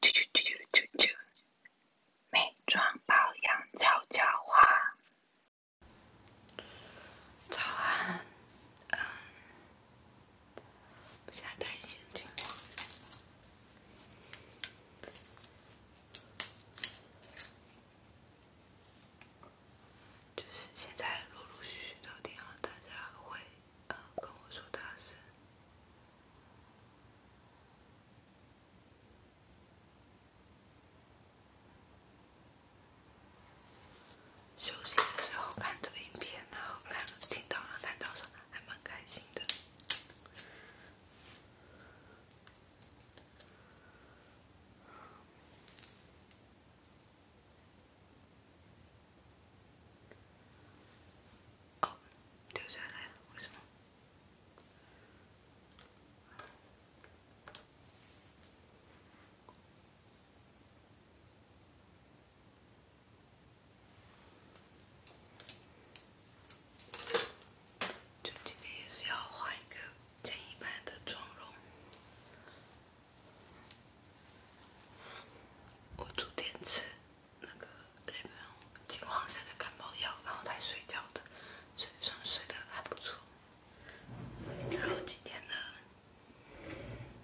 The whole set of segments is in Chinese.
啾啾啾啾啾啾！美妆保养悄悄话。早安，嗯，不想谈一些情况。就是现在陆陆续续都听到大家会呃跟我说大事。休息的时候看这个影片，然后看听到了、看到说还蛮开心的。哦，对上了，为什么？就今天也是要画一个简易版的妆容。我煮点吃。那个日本金黄色的感冒药，然后才睡觉的，所以上睡得还不错。然后今天呢，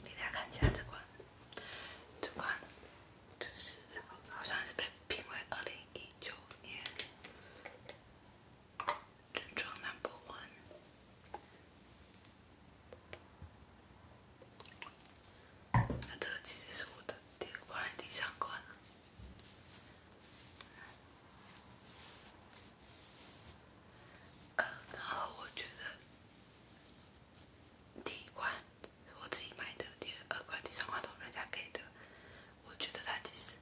给大家看一下这款，这款就是好像是被评为二零一九年整装男博闻。那这个其实是我的第二关、第三关了。然后我觉得第一关是我自己买的，第二、第第三关都是人家给的。我觉得它其实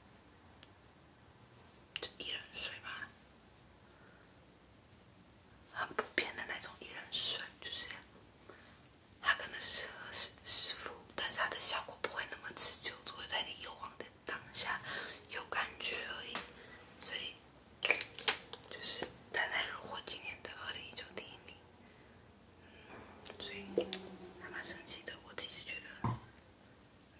就一人水嘛，很普遍的那种一人水，就这样。它可能适合湿湿敷，但是它的效果不会那么持久，只会在你油黄的当下有感觉而已。所以，就是它能荣获今年的2019第一名，所以还蛮神奇的。我自己是觉得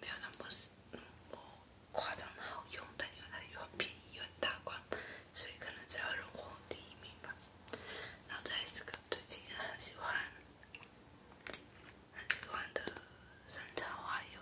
没有那么那么夸张的好用，但因为它又很便宜又很大罐，所以可能才荣获第一名吧。然后在这个最近很喜欢、很喜欢的山茶花油。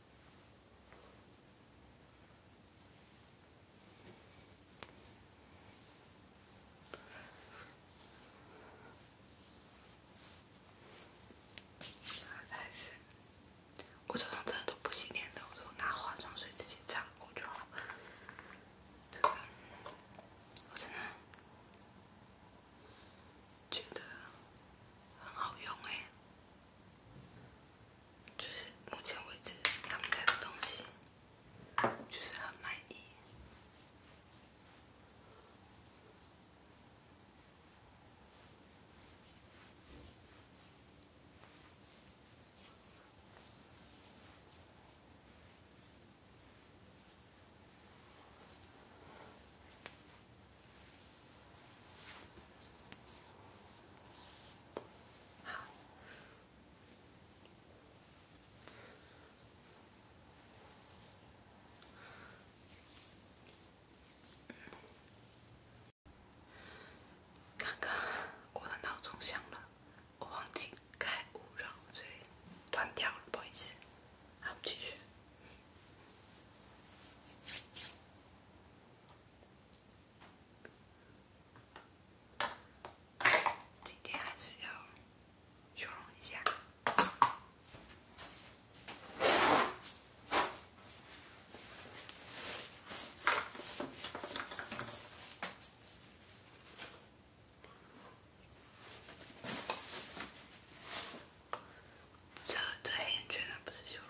我早上真的都不洗脸的，我都拿化妆水直接擦，我就。这个，我真觉得很好用哎，就是目前为止他们家的东西，就是很满意。刚刚我的闹钟响了，我忘记开勿扰，断掉了，不好意思，那继续。今天还是要修容一下。这这黑眼圈啊，不是修容。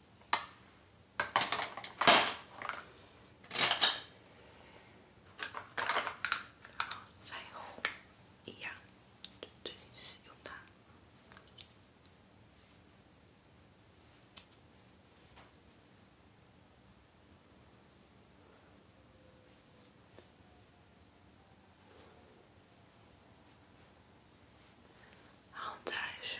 在一样，最近就是用它。好在是。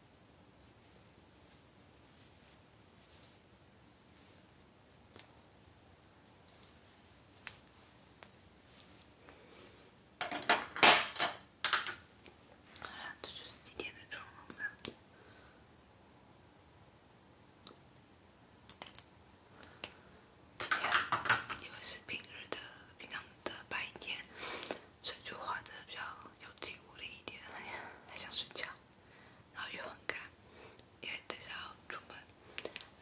好了，这就是今天的妆容了。今天因为是平日的、平常的白天。所以就画的比较有劲，物的一点，还想睡觉，然后又很赶，因为等下要出门。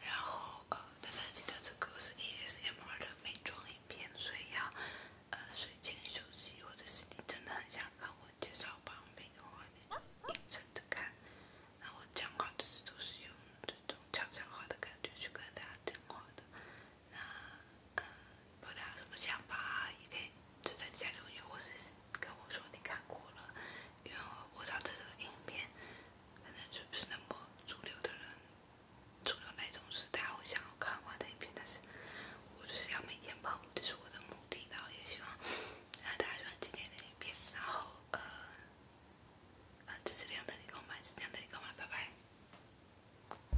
然后呃，大家记得这个是 e s m r 的美妆影片，所以要呃睡前休息，或者是你真的很想看我介绍旁边的话，你就认真的看。那我讲话都是都是用这种悄悄话的感觉去跟大家讲话的。那嗯，呃，大家什么想法？也可以就在底下留言。我是跟我说你看过了，因为我我找这个影片，可能就不是那么主流的人，主流那种是大家会想要看完的影片。但是我就是要每天播，这是我的目的。然后也希望让大家喜欢今天的影片。然后嗯，嗯，支持量的你购买，不量的你购买，拜拜。